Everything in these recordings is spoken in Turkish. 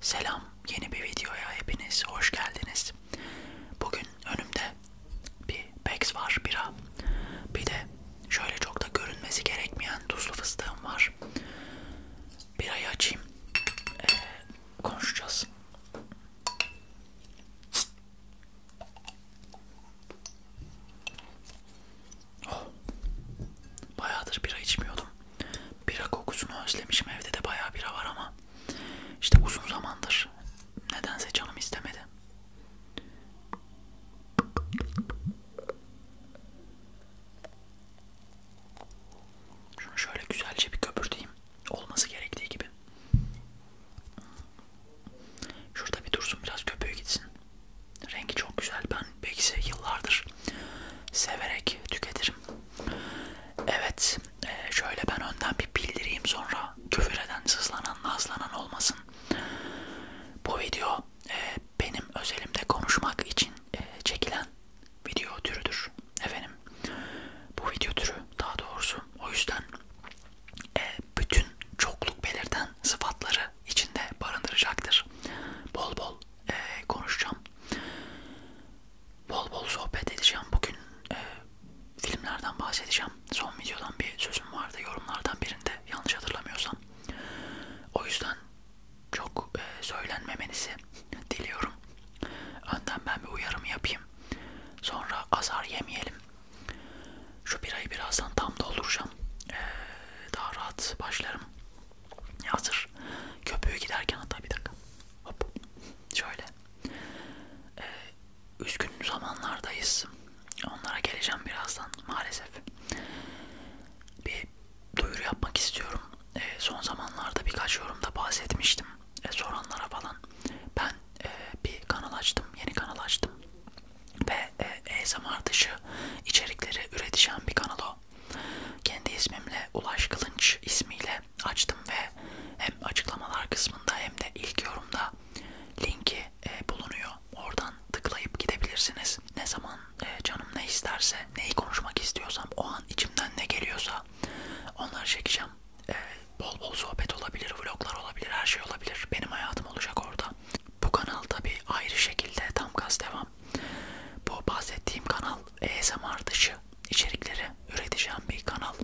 Selam, yeni bir videoya hepiniz hoş geldiniz. Bugün önümde bir Bex var, bira. Bir de şöyle çok da görünmesi gerekmeyen tuzlu fıstığım var. Birayı açayım, ee, konuşacağız. Oh, bayağıdır bira içmiyordum. Bira kokusunu özlemişim. Evde de bayağı bira var ama işte uzun zamandır nedense canım istemedi. Şunu şöyle güzelce bir köpürteyim. Olması gerektiği gibi. Şurada bir dursun biraz köpüğü gitsin. Rengi çok güzel. Ben belki yıllardır severek tüketirim. Evet, e, şöyle ben önden bir bildireyim sonra küfür eden, sızlanan, nazlanan olmasın. Bu video e, benim özelimde konuşmak için e, çekilen video türüdür efendim. Bu video türü daha doğrusu o yüzden e, bütün çokluk belirten sıfatları içinde barındıracaktır. Bol bol e, konuşacağım bol bol sohbet edeceğim. Bugün e, filmlerden bahsedeceğim. Son videodan bir sözüm vardı yorumlardan birinde yanlış hatırlamıyorsam. O yüzden çok e, söylenmemenizi diliyorum. Önden ben bir uyarımı yapayım. Sonra azar yemeyelim. Şu birayı birazdan tam dolduracağım. Ee, daha rahat başlarım. Hazır köpüğü giderken hatta bir dakika. Hop. Şöyle. Ee, üzgün zamanlardayız. Onlara geleceğim birazdan maalesef. Bir duyuru yapmak istiyorum. Ee, son zamanlarda birkaç yorumda bahsetmiştim. Ee, soranlara falan. Ben e, bir kanal açtım. Yeni kanal açtım. Ve e, ASMR dışı içerikleri üreteceğim bir kanal o sayfa. Kendi ismimle Ulaş Kılınç ismiyle açtım ve hem açıklamalar kısmında hem de ilk yorumda linki e, bulunuyor. Oradan tıklayıp gidebilirsiniz. Ne zaman e, canım ne isterse, neyi konuşmak istiyorsam, o an içimden ne geliyorsa onları çekeceğim. E, bol bol sohbet olabilir, vloglar olabilir, her şey olabilir. Benim hayatım olacak orada. Bu kanal tabi ayrı şekilde tam gaz devam yapacağım. Bu bahsettiğim kanal ASMR dışı içerikleri üreteceğim bir kanal.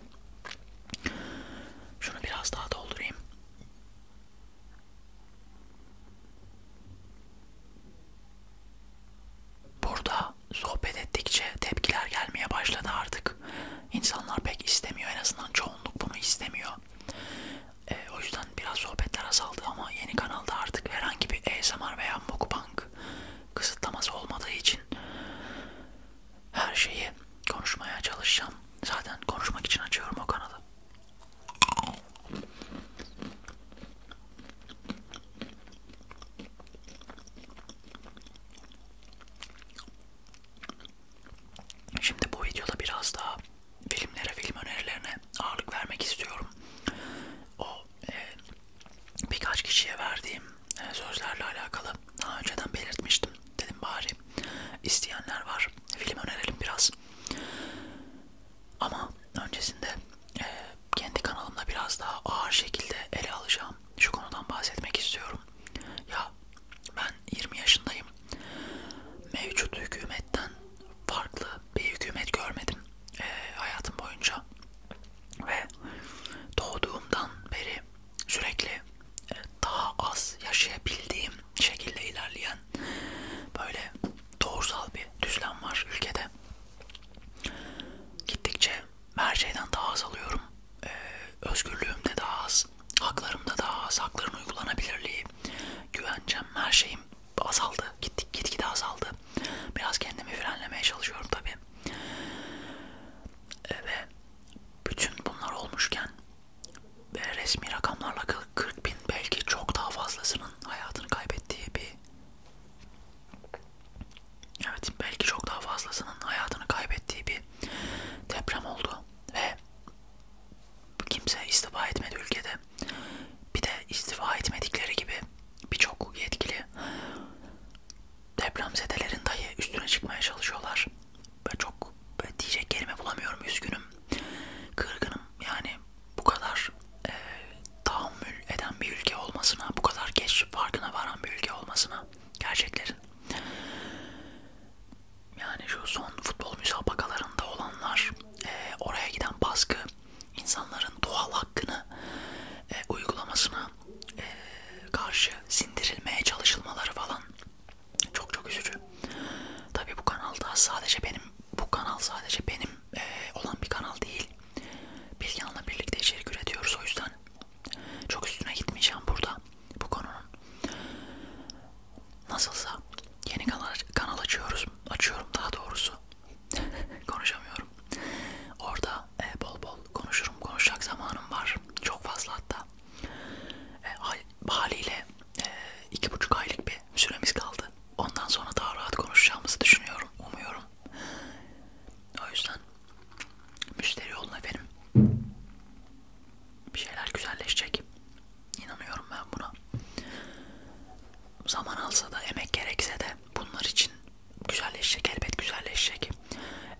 Şunu biraz daha doldurayım. Burada sohbet ettikçe tepkiler gelmeye başladı artık. İnsanlar pek istemiyor. En azından çoğunluk bunu istemiyor. E, o yüzden biraz sohbetler azaldı ama yeni kanalda artık herhangi bir ASMR veya mukbang kısıtlaması olmadığı için her şeyi konuşmaya çalışacağım. Zaten konuşmak için açıyorum o kanalı. Şimdi bu videoda biraz daha filmlere, film önerilerine ağırlık vermek istiyorum. O e, birkaç kişiye verdiğim e, sözlerle alakalı daha önceden belirtmiştim. Dedim bari isteyenler var. Film önerelim biraz. Ama öncesinde e, kendi kanalımda biraz daha ağır şekilde ele alacağım. Şu konudan bahsetmek istiyorum. Ya ben 20 yaşındayım. Mevcut hükümetten farklı bir hükümet görmedim e, hayatım boyunca. Ve doğduğumdan beri sürekli e, daha az yaşayabildiğim şekilde ilerleyen böyle doğrusal bir düzlem var ülkede. Gittikçe her şeyden daha az alıyorum. Ee, özgürlüğüm de daha az, haklarım da daha az, hakların uygulanabilirliği, güvencem, her şeyim azaldı. Gittik gitgide azaldı. Biraz kendimi frenlemeye çalışıyorum tabi. E, ve bütün bunlar olmuşken ve resmi rakamlarla 40 bin belki çok daha fazlasının hayatını kaybettiği bir evet belki çok daha fazlasının hayatını kaybettiği bir deprem oldu ve kimse istifa etmedi ülkede bir de istifa etmedikleri gibi birçok yetkili depremzedelerin dahi üstüne çıkmaya çalışıyorlar. Ve çok böyle diyecek kelime bulamıyorum. Üzgünüm. Kırgınım. Yani bu kadar e, tahammül eden bir ülke olmasına, bu kadar geç farkına varan bir ülke olmasına gerçeklerin. Yani şu son futbol müsabakalarında olanlar, e, oraya giden baskı, insanların doğal hakkını e, uygulamasına e, karşı sindirilmeye çalışılmaları falan çok çok üzücü. Tabii bu kanalda sadece benim bu kanal sadece benim e, olan bir kanal değil. Bilgehan'la birlikte içerik üretiyoruz o yüzden çok üstüne gitmeyeceğim burada bu konunun. Nasılsa yeni kanal, kanal açıyoruz. Açıyorum daha doğrusu konuşamıyorum. Orada e, bol bol konuşurum. Konuşacak zamanım var. Çok fazla hatta. E, haliyle e, iki buçuk aylık bir süremiz kaldı. Ondan sonra daha rahat konuşacağımızı düşünüyorum. Umuyorum. O yüzden müşteri olun efendim. Bir şeyler güzelleşecek. İnanıyorum ben buna. Zaman alsa da, emek gerekse de bunlar için güzelleşecek elbet güzelleşecek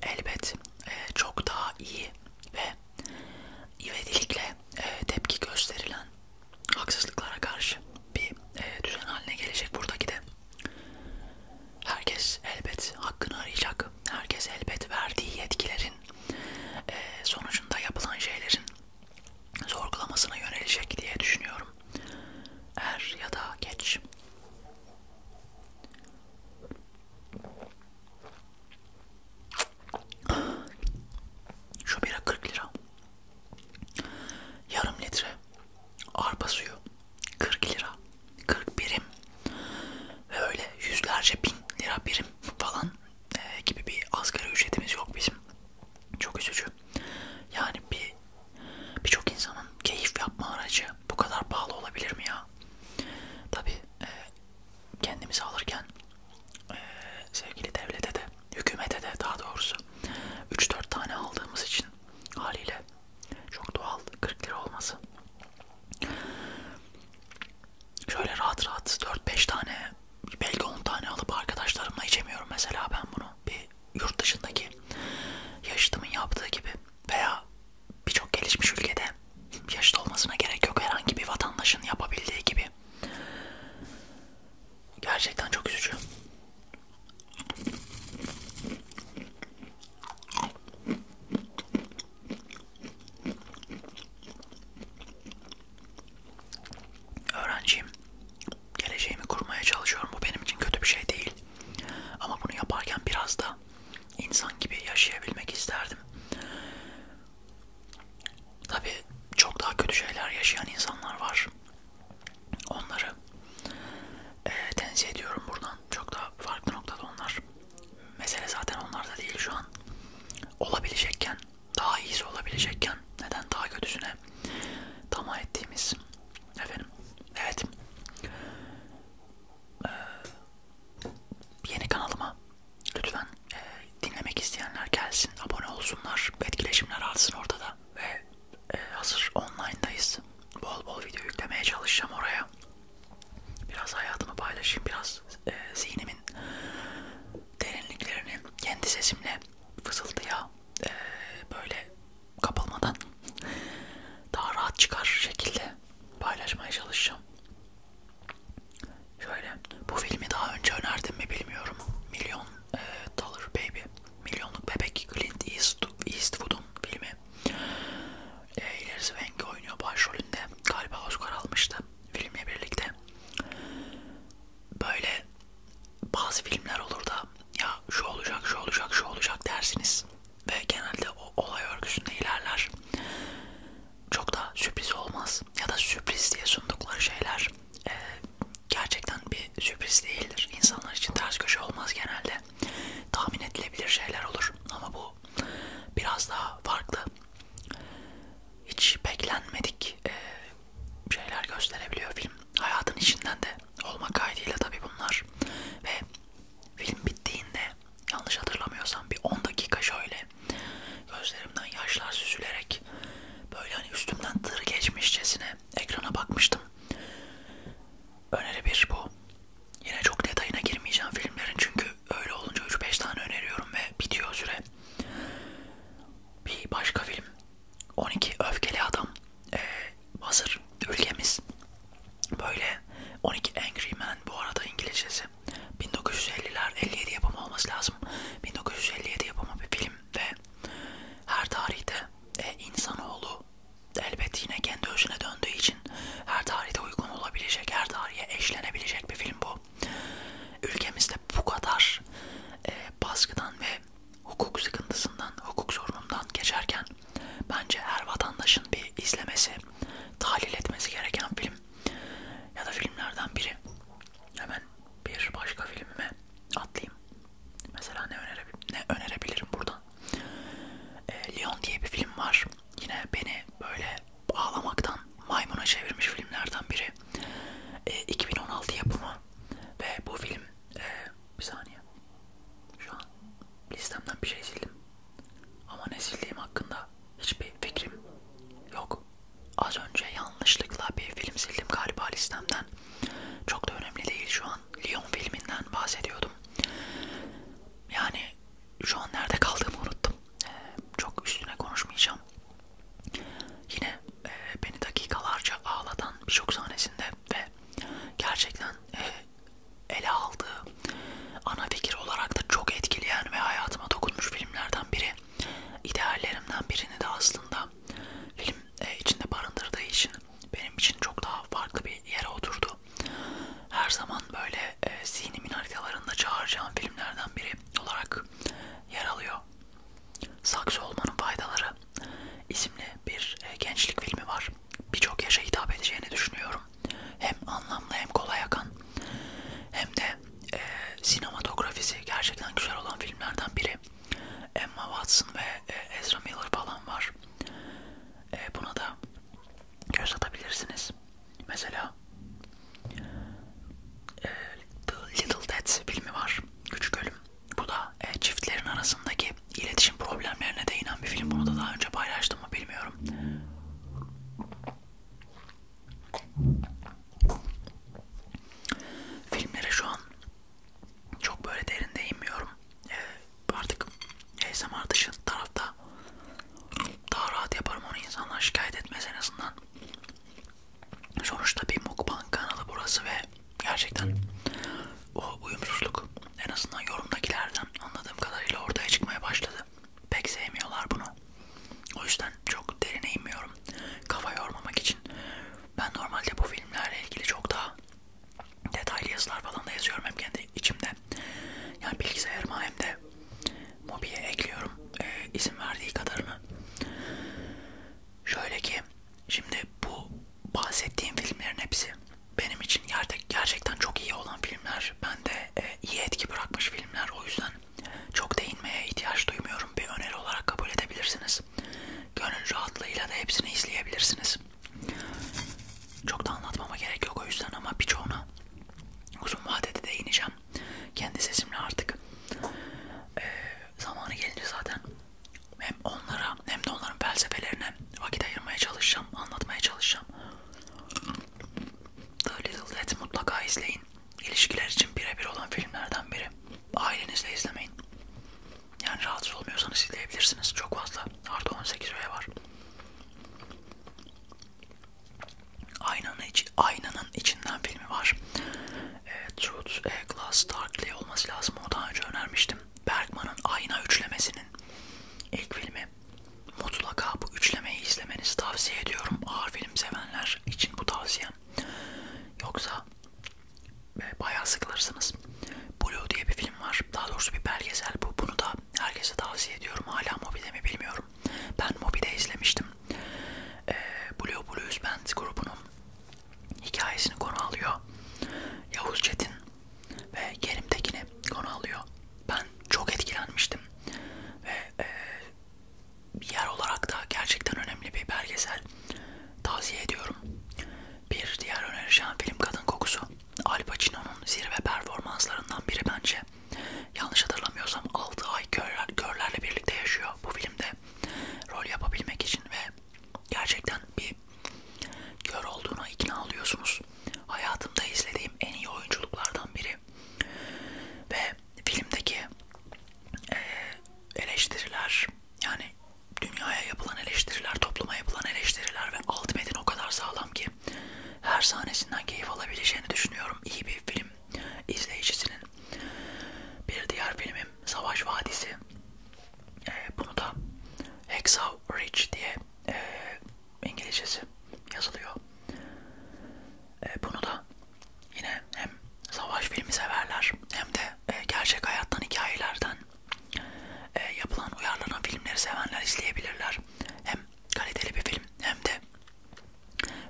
elbet e, çok daha iyi ve ivedilikle e, tepki gösterilen haksızlıklara karşı bir e, düzen haline gelecek buradaki de herkes elbet hakkını arayacak herkes elbet verdiği yetkilerin e, sonucunda yapılan şeylerin sorgulamasına yönelecek diye düşünüyorum. Er ya da geç. Şu bira 40 lira. Yarım litre arpa suyu 40 lira. 40 birim. Ve öyle yüzlerce bin lira birim falan e, gibi bir asgari ücretimiz yok bizim. Çok üzücü. Yani bir birçok insanın keyif yapma aracı bu kadar pahalı olabilir mi ya? Tabi e, kendimizi alırken e, sevgili devlete de, hükümete de daha doğrusu 3-4 tane aldığımız için haliyle çok doğal 40 lira olması. Şöyle rahat rahat 4-5 tane belki 10 tane alıp arkadaşlarımla içemiyorum mesela ben bunu. Bir yurt dışındaki yaşıtımın yaptığı gibi veya birçok gelişmiş ülkede yaşıt olmasına gerek yok herhangi bir vatandaşın yapabildiği gibi. Gerçekten çok üzücü. Öğrenciyim geleceğimi kurmaya çalışıyorum. Bu benim için kötü bir şey değil. Ama bunu yaparken biraz da insan gibi yaşayabilmek isterdim. Tabi çok daha kötü şeyler yaşayan insanlar var. Onları e, tenzih ediyorum buradan. Çok daha farklı noktada onlar. Mesele zaten onlarda değil şu an. Olabilecekken, daha iyisi olabilecekken neden daha kötüsüne tamah ettiğimiz efendim evet ee, yeni kanalıma lütfen e, dinlemek isteyenler gelsin abone olsunlar etkileşimler artsın orada da ve e, hazır online'dayız bol bol video yüklemeye çalışacağım oraya biraz hayatımı paylaşayım biraz e, zihnimin derinliklerini kendi sesimle fısıltıya e, böyle kapılmadan daha rahat çıkar şekilde paylaşmaya çalışacağım. Şöyle bu filmi daha önce önerdim mi bilmiyorum. Milyon e, Dollar Baby, Milyonluk Bebek Clint Eastwood'un filmi. E, Hilary Swank oynuyor başrolünde. Galiba Oscar almıştı filmle birlikte. Böyle bazı filmler olur da ya şu olacak, şu olacak, şu olacak dersiniz ve genelde o olay örgüsünde ilerler. Çok da sürpriz olmaz ya da sürpriz diye sundukları şeyler e, gerçekten bir sürpriz değildir. İnsanlar için ters köşe olmaz genelde. Tahmin edilebilir şeyler olur ama bu biraz daha farklı. Hiç beklenmedik e, şeyler gösterebiliyor film. Hayatın içinden de olma kaydıyla tabi bunlar. Ve film bittiğinde yanlış hatırlamıyorsam bir 10 dakika şöyle gözlerimden yaşlar süzülerek böyle hani üstümden tır geçmişçesine ekrana bakmıştım. Öneri bir bu. Yine çok detayına girmeyeceğim filmlerin çünkü öyle olunca 3-5 tane öneriyorum ve bitiyor süre. Bir başka film 12 öfkeli adam ee, hazır ülkemiz böyle 12 Angry Man bu arada İngilizcesi 1950'ler 57 yapımı olması lazım 1957 yapımı bir film ve her tarihte e, insanoğlu elbet yine kendi özüne döndüğü için her tarihte uygun olabilecek her tarihe eşlenebilecek bir film bu ülkemizde bu kadar e, baskıdan ve hukuk sıkıntısından, hukuk sorunundan geçerken bence her vatandaşın bir izlemesi, tahlil etmesi gereken film ya da filmlerden biri. Hemen bir başka filmime atlayayım. Mesela ne, önerebil ne önerebilirim buradan? E, ee, Leon diye bir film var. Yine beni böyle ağlamaktan maymuna çevirmiş filmlerden biri. E, ee, 2016 yapımı ve bu film e, bir saniye. Şu an listemden bir şey sildim. Ama ne sildiğim hakkında hiçbir fikrim yok. Az önce yanlışlıkla bir film sildim galiba listemden. Çok da önemli değil şu an. Lyon filminden bahsediyordum. Yani şu an nerede kaldığımı unuttum. Ee, çok üstüne konuşmayacağım. Yine e, beni dakikalarca ağlatan birçok sahnesinde ve gerçekten e, ele aldığı ana fikir olarak da çok etkileyen ve hayatıma dokunmuş filmlerden biri. İdeallerimden birini de aslında film e, içinde barındırdığı için benim için çok daha farklı bir yere oturdu. Her zaman böyle e, zihnimin haritalarında çağıracağım filmlerden biri olarak yer alıyor. Saksı olmanın faydaları isimli bir e, gençlik filmi var. Birçok yaşa hitap edeceğini düşünüyorum. Hem anlamlı hem kolay akan hem de e, sinematografisi gerçekten güzel olan filmlerden biri. Emma Watson ve e, Ezra Miller falan var. E, buna da göz atabilirsiniz. Mesela e, The Little Dead filmi var. Küçük Ölüm. Bu da e, çiftlerin arasındaki iletişim problemlerine değinen bir film. Bunu da daha önce paylaştım mı bilmiyorum. Filmlere şu an çok böyle derin değinmiyorum. E, artık ASMR dışı tarafta daha rahat yaparım onu insanlar şikayet etmez en azından. Sonuçta bir mukbang kanalı burası ve gerçekten o uyumsuzluk en azından yorumdakilerden anladığım kadarıyla ortaya çıkmaya başladı. Pek sevmiyorlar bunu. O yüzden çok derine inmiyorum. Kafa yormamak için. Ben normalde bu filmlerle ilgili çok daha detaylı yazılar falan da yazıyorum hem kendi içimde. Yani bilgisayarıma hem de Mobi'ye ekliyorum. Ee, izin verdiği kadarını. Şöyle ki Şimdi bu bahsettiğim filmlerin hepsi benim için gerçekten çok iyi olan filmler. Ben de e, iyi etki bırakmış filmler. O yüzden çok değinmeye ihtiyaç duymuyorum. Bir öneri olarak kabul edebilirsiniz. Gönül rahatlığıyla da hepsini izleyebilirsiniz. Çok da anlatmama gerek yok o yüzden ama birçoğuna uzun vadede değineceğim. Kendi sesimle artık. Ee, zamanı gelince zaten hem onlara hem de onların felsefelerine vakit ayırmaya çalışacağım, anlatmaya çalışacağım. The Little Death mutlaka izleyin. İlişkiler için birebir olan filmlerden biri. Ailenizle izlemeyin. Yani rahatsız olmuyorsanız izleyebilirsiniz. Çok fazla. Artı 18 öyle var. Aynanın, içi, aynanın içinden filmi var e, Truth e, Glass Darkly olması lazım. O daha önce önermiştim. Bergman'ın Ayna üçlemesinin ilk filmi. Mutlaka bu üçlemeyi izlemenizi tavsiye ediyorum. Ağır film sevenler için bu tavsiyem. Yoksa e, bayağı sıkılırsınız. Blue diye bir film var. Daha doğrusu bir belgesel bu. Bunu da herkese tavsiye ediyorum. Hala Mobi'de mi bilmiyorum. Ben Mobi'de izlemiştim. E, Blue Blues Band grubunun hikayesini konu alıyor. Yavuz Çetin ve Kerim Tekin'i konu alıyor. Ben çok etkilenmiştim. Ve e, bir yer olarak da gerçekten önemli bir belgesel tavsiye ediyorum. Bir diğer önerişen film Kadın Kokusu. Al Pacino'nun zirve performanslarından biri bence. Yanlış hatırlamıyorsam 6 ay körler, körlerle birlikte yaşıyor bu filmde rol yapabilmek için ve gerçekten bir kör olduğuna ikna oluyorsunuz. Hayatımda izlediğim en iyi oyunculuklardan biri ve filmdeki e, eleştiriler yani dünyaya yapılan eleştiriler, topluma yapılan eleştiriler ve alt metin o kadar sağlam ki her sahnesinden keyif alabileceğini düşünüyorum. İyi bir film izleyicisinin bir diğer filmim Savaş Vadisi. E, bunu da Hexa Ridge diye e, İngilizcesi yazılıyor. E, bunu da yine hem savaş filmi severler hem de e, gerçek hayattan hikayelerden e, yapılan uyarlanan filmleri sevenler izleyebilirler. Hem kaliteli bir film hem de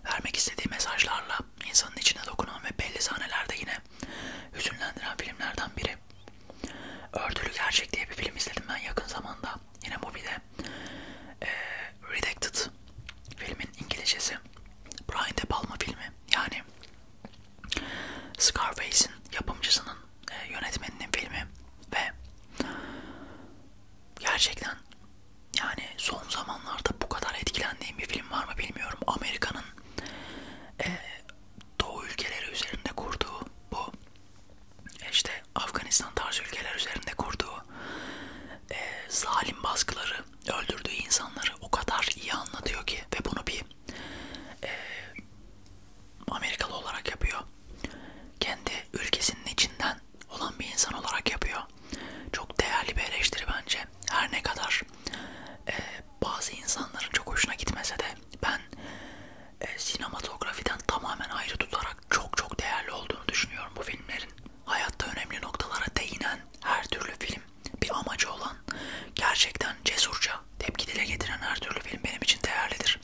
vermek istediği mesajlarla insanın içine dokunan ve belli sahnelerde yine hüzünlendiren filmlerden biri. Örtülü Gerçek diye bir film izledim ben yakın zamanda. Yine Mubi'de. Ee, Redacted filmin İngilizcesi. Brian De Palma filmi. Yani Scarface'in yapımcısının, e, yönetmeninin filmi ve gerçekten yani son zamanlarda bu kadar etkilendiğim bir film var mı bilmiyorum. Amerika'nın Amerika'nın e, Doğu ülkeleri üzerinde kurduğu bu işte Afganistan tarzı ülkeler üzerinde kurduğu e, zalim baskıları, öldürdüğü insanları o kadar iyi anlatıyor ki ve bunu bir e, Amerikalı olarak yapıyor. Kendi ülkesinin içinden olan bir insan olarak yapıyor. Çok değerli bir eleştiri bence. Her ne kadar e, bazı insanların çok hoşuna gitmese de ben e, sinematografiden tamamen ayrı tutarak çok çok değerli olduğunu düşünüyorum bu filmlerin. Hayatta önemli noktalara değinen her türlü film, bir amacı olan, gerçekten cesurca tepki dile getiren her türlü film benim için değerlidir.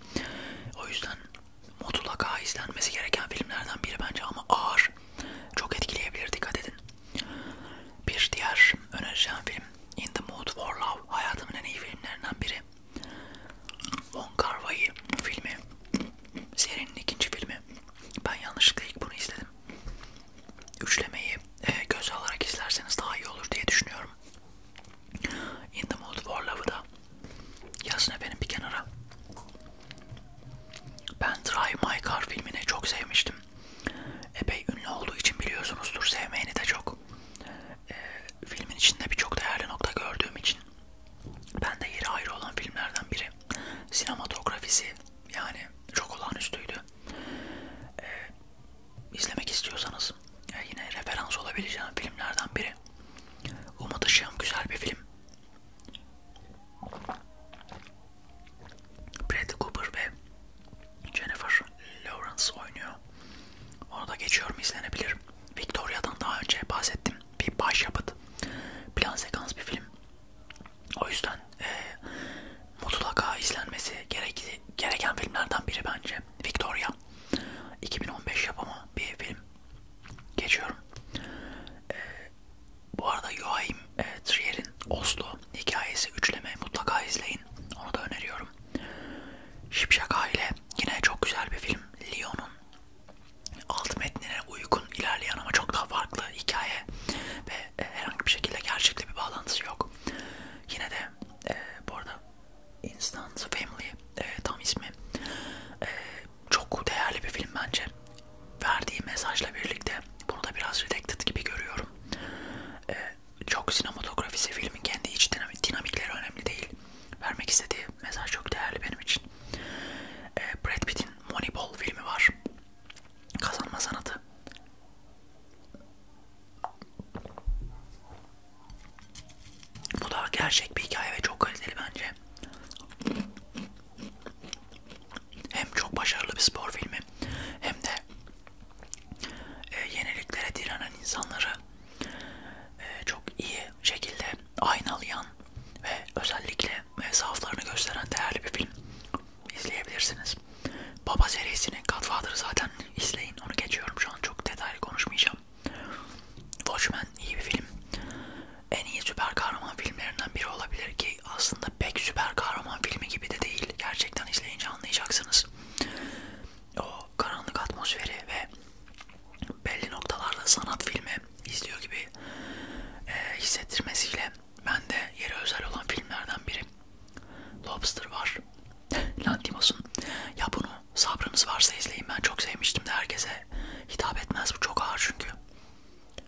O yüzden mutlaka izlenmesi gereken filmlerden biri bence ama ağır. Çok etkileyebilir dikkat edin. Bir diğer önereceğim film In the Mood for Love hayatımın en iyi filmlerinden biri. Von Kar Wai filmi. Serinin ikinci filmi. Ben yanlışlıkla ilk bunu izledim. Üçlemeyi e, göz alarak izlerseniz daha iyi olur diye düşünüyorum. In the Mood for Love'ı da yazın efendim bir kenara. Ben Drive My Car filmini çok sevmiştim epey ünlü olduğu için biliyorsunuzdur sevmeyeni de çok. E, filmin içinde birçok değerli nokta gördüğüm için ben de yeri ayrı olan filmlerden biri. Sinematografisi yani çok olağanüstüydü. E, izlemek istiyorsanız e, yine referans olabileceğim filmlerden biri. Umut Işığım güzel bir film. Bradley Cooper ve Jennifer Lawrence oynuyor. Onu da geçiyorum izlenebilir. Victoria'dan daha önce bahsettim. Bir başyapıt. Plan sekans bir film. O yüzden e, mutlaka izlenmesi gerekli, gereken filmlerden biri bence. Victoria. 2015 yapımı bir film. Geçiyorum. E, bu arada Joachim e, Trier'in Oslo hikayesi üçleme mutlaka izleyin. Onu da öneriyorum. Şipşak Aile yine çok güzel bir film. Lyon'un alt metnine uygun ilerleyen ama çok daha farklı hikaye ve e, herhangi bir şekilde gerçekle bir bağlantısı yok. Yine de e, bu arada Instant Family e, tam ismi e, çok değerli bir film bence verdiği mesajla birlikte bunu da biraz redacted gibi görüyorum. Ee, çok sinematografisi filmin kendi iç dinamikleri önemli değil. Vermek istediği mesaj çok değerli benim için. Ee, Brad Pitt'in Moneyball filmi var. Kazanma sanatı. Bu da gerçek bir hikaye ve çok kaliteli bence hem çok başarılı bir spor filmi hem de e, yeniliklere direnen insanları e, çok iyi şekilde aynalayan ve özellikle e, zaaflarını gösteren değerli bir film. İzleyebilirsiniz. Baba serisinin Godfather'ı zaten izleyin. Onu geçiyorum şu an çok detaylı konuşmayacağım. Watchmen iyi bir film. En iyi süper kahraman filmlerinden biri olabilir ki şey aslında pek süper kahraman filmi gibi de değil. Gerçekten izleyince anlayacaksınız. O karanlık atmosferi ve belli noktalarda sanat filmi izliyor gibi e, hissettirmesiyle ben de yeri özel olan filmlerden biri. Lobster var. Lantimos'un. Ya bunu sabrınız varsa izleyin. Ben çok sevmiştim de herkese hitap etmez. Bu çok ağır çünkü.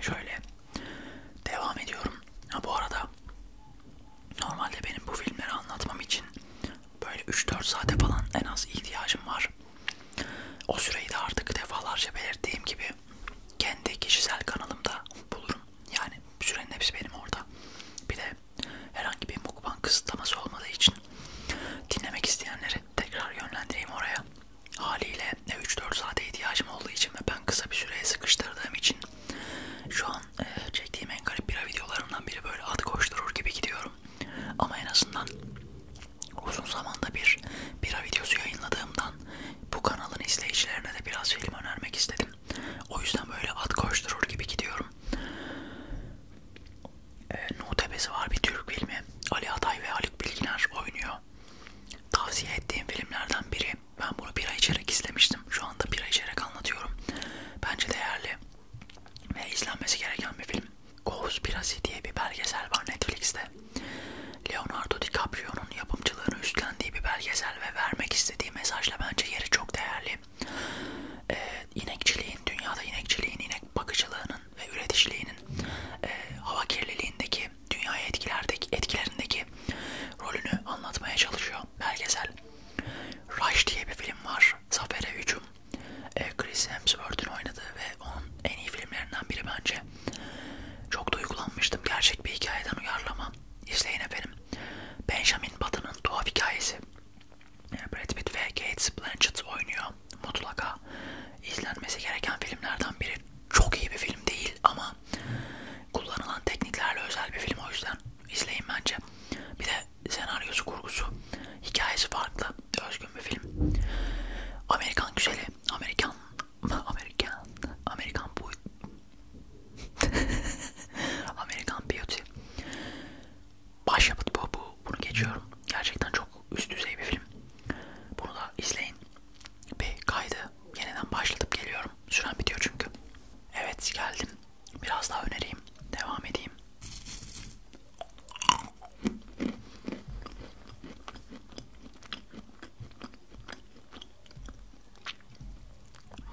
Şöyle devam ediyorum. Ha bu arada normalde benim bu filmleri anlatmam için böyle 3-4 saate falan en az ihtiyacım var. O süreyi de artık defalarca belirttiğim gibi kendi kişisel kanalımda bulurum. Yani sürenin hepsi benim orada. Bir de herhangi bir mukbang kısıtlaması olmadığı için dinlemek isteyenleri tekrar yönlendireyim oraya. Haliyle 3-4 saate ihtiyacım olduğu için ve ben kısa bir süreye sıkıştırdığım için şu an e, çektiğim en garip bira videolarından biri böyle at koşturur gibi gidiyorum. Ama en azından uzun zamanda bir bira videosu yayınladığımdan bu kanalın izleyicilerine de biraz film önermek istedim. O yüzden böyle at koşturur gibi gidiyorum e, ee, Nutebesi var bir Türk filmi. Ali Atay ve Haluk Bilginer oynuyor. Tavsiye ettiğim filmlerden biri. Ben bunu bira içerek izlemiştim. Şu anda bira içerek anlatıyorum. Bence değerli ve izlenmesi gereken bir film. Conspiracy diye bir belgesel var Netflix'te. Leonardo DiCaprio'nun yapımcılığını üstlendiği bir belgesel ve vermek istediği mesajla bence yeri çok değerli. Ee, inekçiliğin, dünyada inekçiliğin, inek bakıcılığının ve üreticiliğinin e, hava kirliliğindeki, dünyaya etkilerdeki, etkilerindeki rolünü anlatmaya çalışıyor belgesel. Rush diye bir film var. Zafer'e hücum. E, Chris Hemsworth'un oynadığı ve onun en iyi filmlerinden biri bence. Çok duygulanmıştım. Gerçek bir hikayeden uyarlama. İzleyin efendim. Benjamin Button'ın tuhaf hikayesi. E, Brad Pitt ve Kate Blanchett oynuyor mutlaka mutlaka izlenmesi gereken filmlerden biri. Çok iyi bir film değil ama kullanılan tekniklerle özel bir film o yüzden izleyin bence. Bir de senaryosu, kurgusu, hikayesi farklı, özgün bir film. Amerikan güzeli, Amerikan, Amerikan, Amerikan bu, Amerikan beauty. Başyapıt bu, bu, bunu geçiyorum. Gerçekten çok üst düzey bir film. Bunu da izleyin. Bir kaydı yeniden başlatıp geliyorum. Süren bitiyor çünkü. Evet geldim. Biraz daha önereyim. Devam edeyim.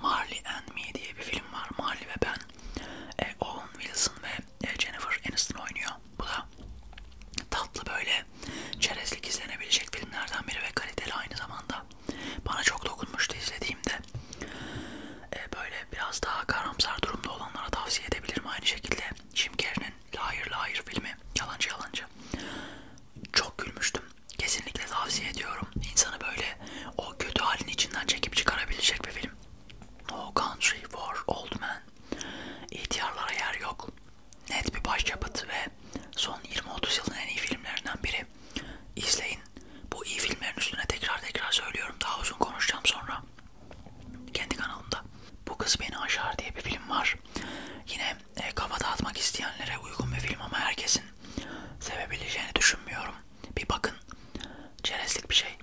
Marley and Me diye bir film var. Marley ve ben. E, Owen Wilson ve e, Jennifer Aniston oynuyor. Bu da tatlı böyle çerezlik izlenebilecek filmlerden biri ve kaliteli aynı zamanda. Bana çok dokunmuştu izlediğimde. Ee, böyle biraz daha karamsar durumda olanlara tavsiye edebilirim aynı şekilde. Jim Carrey'nin Liar Liar filmi Yalancı Yalancı. Çok gülmüştüm. Kesinlikle tavsiye ediyorum. İnsanı böyle o kötü halin içinden çekip çıkarabilecek bir film. No Country for Old Men İhtiyarlara yer yok. Net bir başyapıt ve son 20-30 yılın en iyi filmlerinden biri. İzleyin. Bu iyi filmlerin üstüne tekrar tekrar söylüyorum. Daha uzun konuşacağım sonra. Kendi kanalımda. Bu Kız Beni Aşar diye bir film var. Yine e, kafa dağıtmak isteyenlere uygun bir film ama herkesin sevebileceğini düşünmüyorum. Bir bakın. Çerezlik bir şey.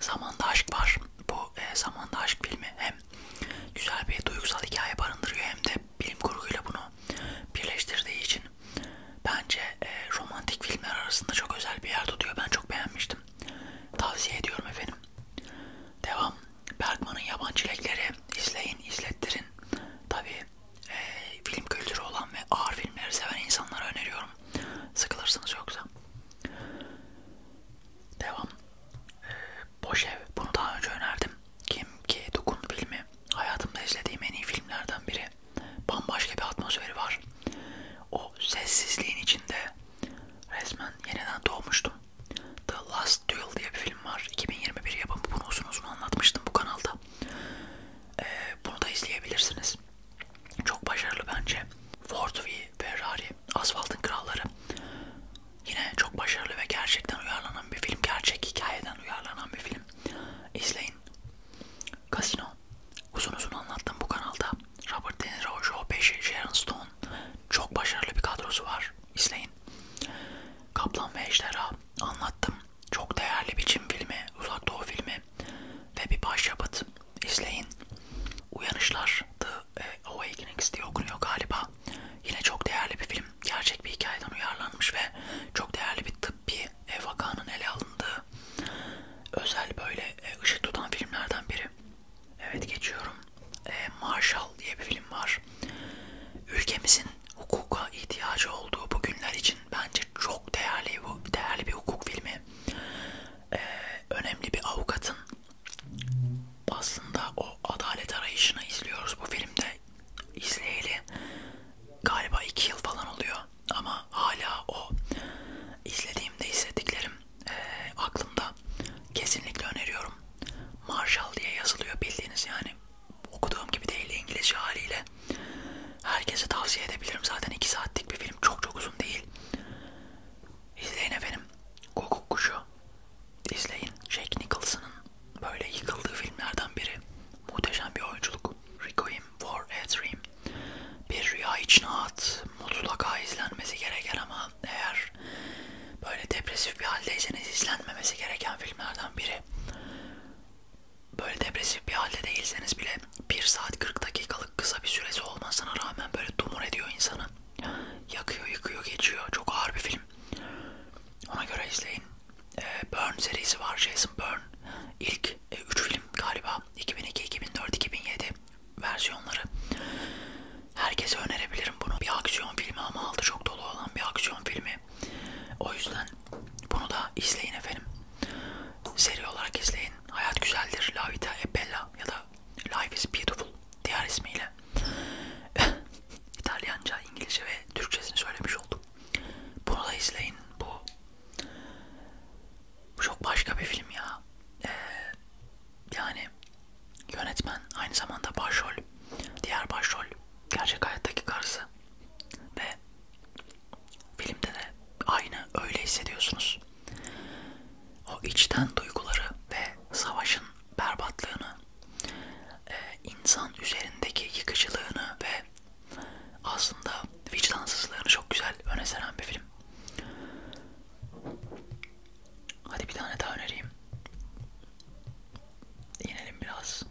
Zamanda Aşk var. Bu e, Zamanda Aşk filmi hem güzel bir duygusal hikaye barındırıyor hem de bilim kurguyla bunu birleştirdiği için bence e, romantik filmler arasında çok özel bir yer tutuyor. Ben çok beğenmiştim. Tavsiye ediyorum efendim. Devam. Bergman'ın Yaban Çilekleri izleyin, izlettirin. Tabii e, film kültürü olan ve ağır filmleri seven insanlara öneriyorum. Sıkılırsınız yoksa. Devam. Ee, Boş Ev. Bunu daha önce önerdim. Kim ki Dokun filmi. Hayatımda izlediğim en iyi filmlerden biri. Bambaşka bir atmosferi var. O sessizliğin içinde resmen yeniden doğmuştum. The Last Duel diye bir film var. 2021 yapımı. Bunu uzun uzun anlatmıştım bu kanalda. Ee, bunu da izleyebilirsiniz. Çok başarılı bence. Ford v Ferrari Asfaltın Kralları. Yine çok başarılı ve gerçekten uyarlanan bir film. Gerçek hikayeden uyarlanan bir film. İzleyin. Casino. Uzun uzun anlattım bu kanalda. Robert De Niro, Joe Pesci, Sharon Stone. Çok başarılı bir kadrosu var. İzleyin. Kaplan ve Ejderha. Anlattım. Çok değerli bir Çin filmi. Uzak Doğu filmi. Ve bir başyapıt izleyin. Uyanışlar The e, Awakenings diye okunuyor galiba. Yine çok değerli bir film. Gerçek bir hikayeden uyarlanmış ve çok değerli bir tıbbi e, vakanın ele alındığı özel böyle e, ışık tutan filmlerden biri. Evet geçiyorum. Marshall diye bir film var. Ülkemizin hukuka ihtiyacı olduğu bu günler için bence çok değerli bu değerli bir hukuk filmi. Ee, önemli bir avukatın aslında o adalet arayışını izliyoruz bu filmde. İzleyeli galiba iki yıl falan oluyor ama hala o izlediğimde hissettiklerim e, aklımda. Kesinlikle öneriyorum. Marshall diye yazılıyor bildiğiniz yani. Okuduğum gibi değil İngilizce haliyle. Herkese tavsiye edebilirim. Zaten 2 saatlik bir film. Çok çok uzun değil. İzleyin efendim. Guguk Kuşu izleyin. Jack Nicholson'ın böyle yıkıldığı filmlerden biri. Muhteşem bir oyunculuk. Requiem for a Dream. Bir rüya için at. Mutlaka izlenmesi gereken ama eğer böyle depresif bir haldeyseniz izlenmemesi gereken filmlerden biri. Böyle depresif bir halde değilseniz bile 1 saat 40 dakikalık kısa bir süresi olmasına rağmen böyle dumur ediyor insanı. Yakıyor, yıkıyor, geçiyor. Çok ağır bir film. Ona göre izleyin. Ee, Burn serisi var. Jason Burn. İlk 3 e, film galiba. 2002, 2004, 2007 versiyonları. Herkese önerebilirim bunu. Bir aksiyon filmi ama altı çok dolu olan bir aksiyon filmi. O yüzden bunu da izleyin efendim. Seri olarak izleyin. Hayat güzeldir. La Vita e Bella ya da Life is Beautiful diğer ismiyle İtalyanca, İngilizce ve Türkçesini söylemiş oldum. Bunu da izleyin. Bu, bu çok başka bir film ya. Ee, yani yönetmen aynı zamanda başrol, diğer başrol gerçek hayattaki karısı ve filmde de aynı öyle hissediyorsunuz. O içten duyguları ve savaşın berbatlığını, e, insan üzerindeki yıkıcılığını ve aslında vicdansızlığını çok güzel öne seren bir film. Hadi bir tane daha önereyim. İnelim biraz.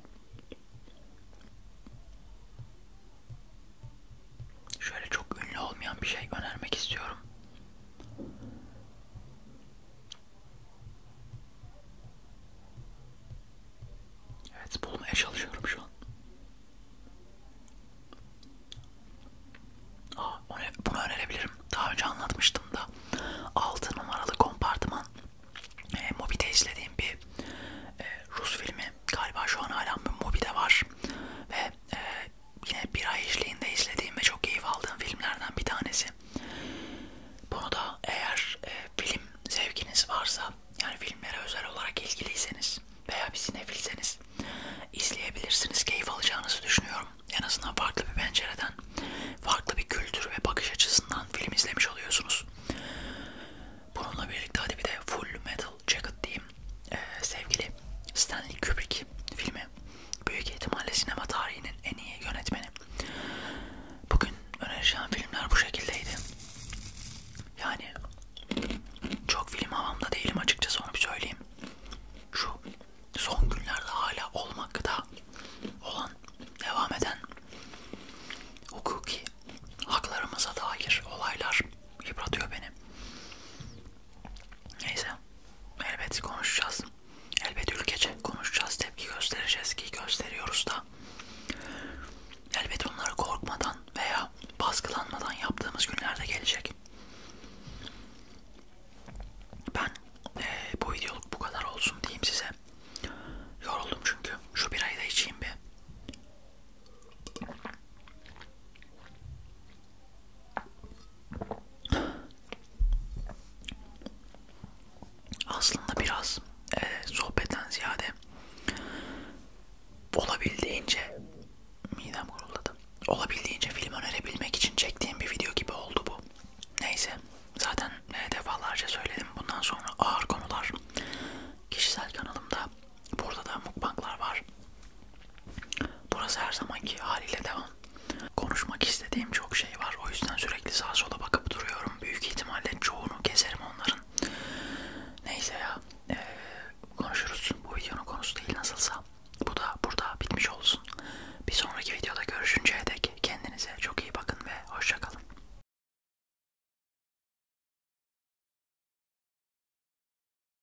Şöyle çok ünlü olmayan bir şey önermek istiyorum. Evet bulmaya çalışıyorum şu an. Aa, bunu önerebilirim. Daha önce anlatmıştım da 6 numaralı kompartıman e, ee, Mobi'de izlediğim bir e, Rus filmi galiba şu an hala Mobi'de var ve e, yine bir ay işliğinde izlediğim ve çok keyif aldığım filmlerden bir tanesi. Bunu da eğer e, film zevkiniz varsa yani filmlere özel olarak ilgiliyseniz veya bir sinefilseniz izleyebilirsiniz. Keyif alacağınızı düşünüyorum. En azından farklı bir pencereden, farklı bir kültür ve bakış açısından film izlemiş oluyorsunuz. Bununla birlikte hadi bir de Full Metal Yellow Jacket diyeyim ee, sevgili Stanley Kubrick filmi büyük ihtimalle sinema tarihinin en iyi yönetmeni. Bugün önereceğim filmler bu şekildeydi. Yani çok film havamda değilim açıkçası onu bir söyleyeyim. Şu son günlerde hala olmakta olan, devam eden hukuki haklarımıza dair olaylar yıpratıyor beni. Neyse elbet konuşacağız. Elbet ülkece konuşacağız, tepki göstereceğiz ki gösteriyoruz da. Elbet onları korkmadan veya baskılanmadan yaptığımız günlerde gelecek. Ben e, bu videoluk bu kadar olsun diyeyim size. Yoruldum çünkü. Şu birayı da içeyim bir. Aslında biraz e, sohbetten ziyade olabildiğince midem kuruladı. Olabildiğince film önerebilmek için çektiğim bir video gibi oldu bu. Neyse zaten e, defalarca söyledim bundan sonra ağır konular kişisel kanalımda Burada da mukbanglar var. Burası her zamanki haliyle devam. Konuşmak istediğim çok şey var. O yüzden sürekli sağa sola bakıp duruyorum. Büyük ihtimalle çoğunu keserim onların. Neyse ya. Ee, konuşuruz. Bu videonun konusu değil nasılsa. Bu da burada bitmiş olsun. Bir sonraki videoda görüşünceye dek kendinize çok iyi bakın ve hoşçakalın.